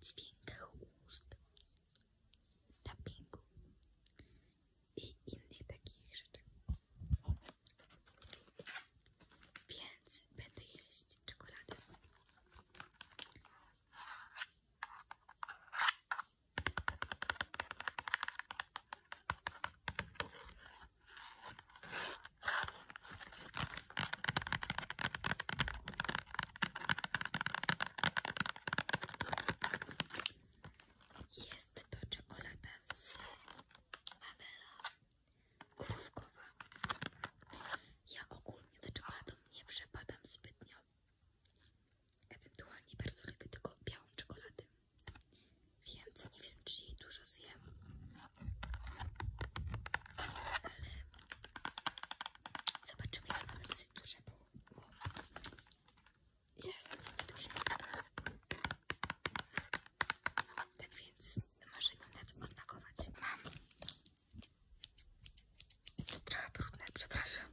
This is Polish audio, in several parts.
dźwiękach ust, tappingu i innych takich rzeczy. Więc będę jeść czekoladę. Jest to czekolada z Awela krówkowa. Ja ogólnie za czekoladą nie przepadam zbytnio. Ewentualnie bardzo lubię tylko białą czekoladę. Więc nie wiem, czy jej dużo zjem. Ale Zobaczymy, jest one dosyć duże, bo jest dosyć duże. Tak więc może mam na odpakować. Mam trochę trudne. przepraszam.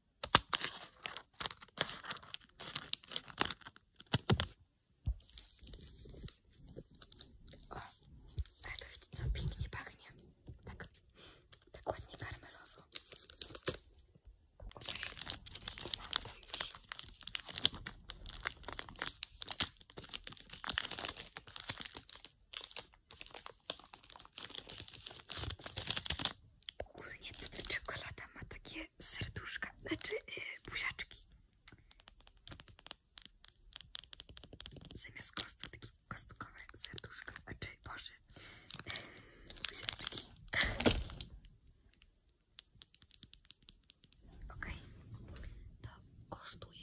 O, ale to widzicie co pięknie pachnie. Tak, tak ładnie karmelowo. Okej, okay. już. Ogólnie ta czekolada ma takie serduszka, znaczy yy, buziaczki. Zamiast kostki, kostkowe serduszka, znaczy boże, buziaczki. Okej, to kosztuje.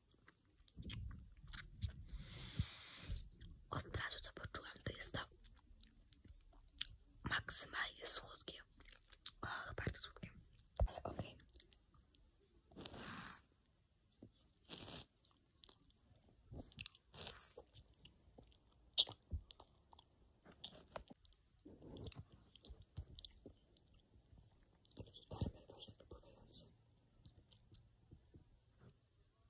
Od razu co poczułam, to jest to maksymalnie słodkie. bardzo słodkie, Okay.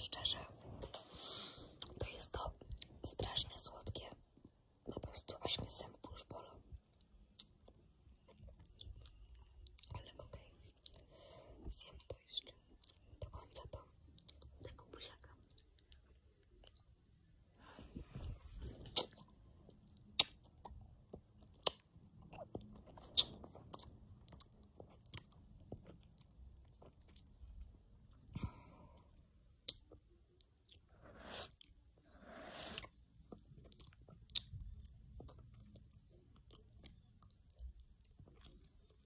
Szczerze, to jest to strasznie słodkie. Po prostu aż mnie zęby już Ale okej. Okay do końca to tego buziaka.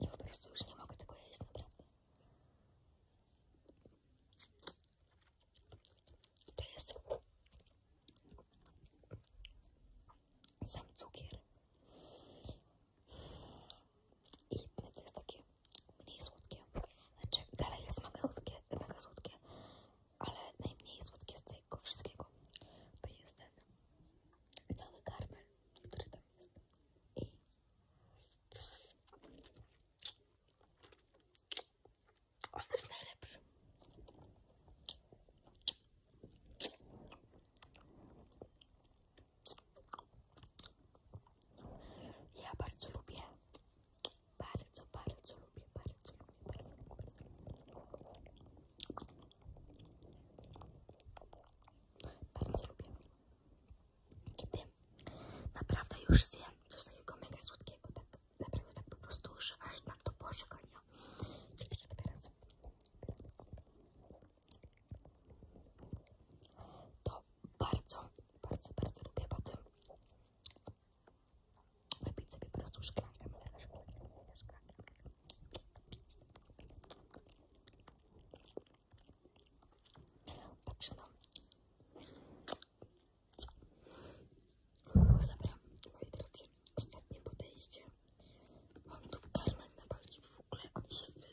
Я просто уже не могу такое есть, правда. То есть сам цукер и на тестаке мне из водки. Далі я смакаю на газутки ale najmniej słodkie z tego wszystkiego to jest ten cały karmel, który tam jest. I on jest najlepszy. Ja bardzo lubię, bardzo, bardzo lubię, bardzo lubię, bardzo lubię. Bardzo lubię. Kiedy naprawdę już zjem coś takiego mega słodkiego, tak naprawdę tak po prostu, aż na to pożegania. To bardzo, bardzo, bardzo lubię po tym. Wypić sobie po prostu szklankę, mleka, szklankę, mleka, szklankę. Także no. Dobra, moi drodzy, ostatnie podejście. Mam tu karmel na palcu, w ogóle on się wylewa.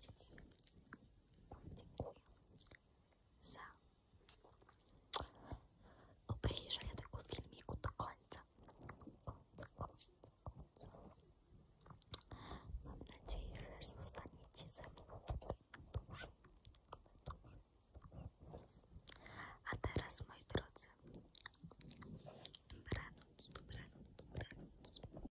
Dziękuję. Dziękuję za obejrzenie tego filmiku do końca. Mam nadzieję, że zostaniecie ze mną dłużej. A teraz, moi drodzy, dobranoc, dobranoc, dobranoc.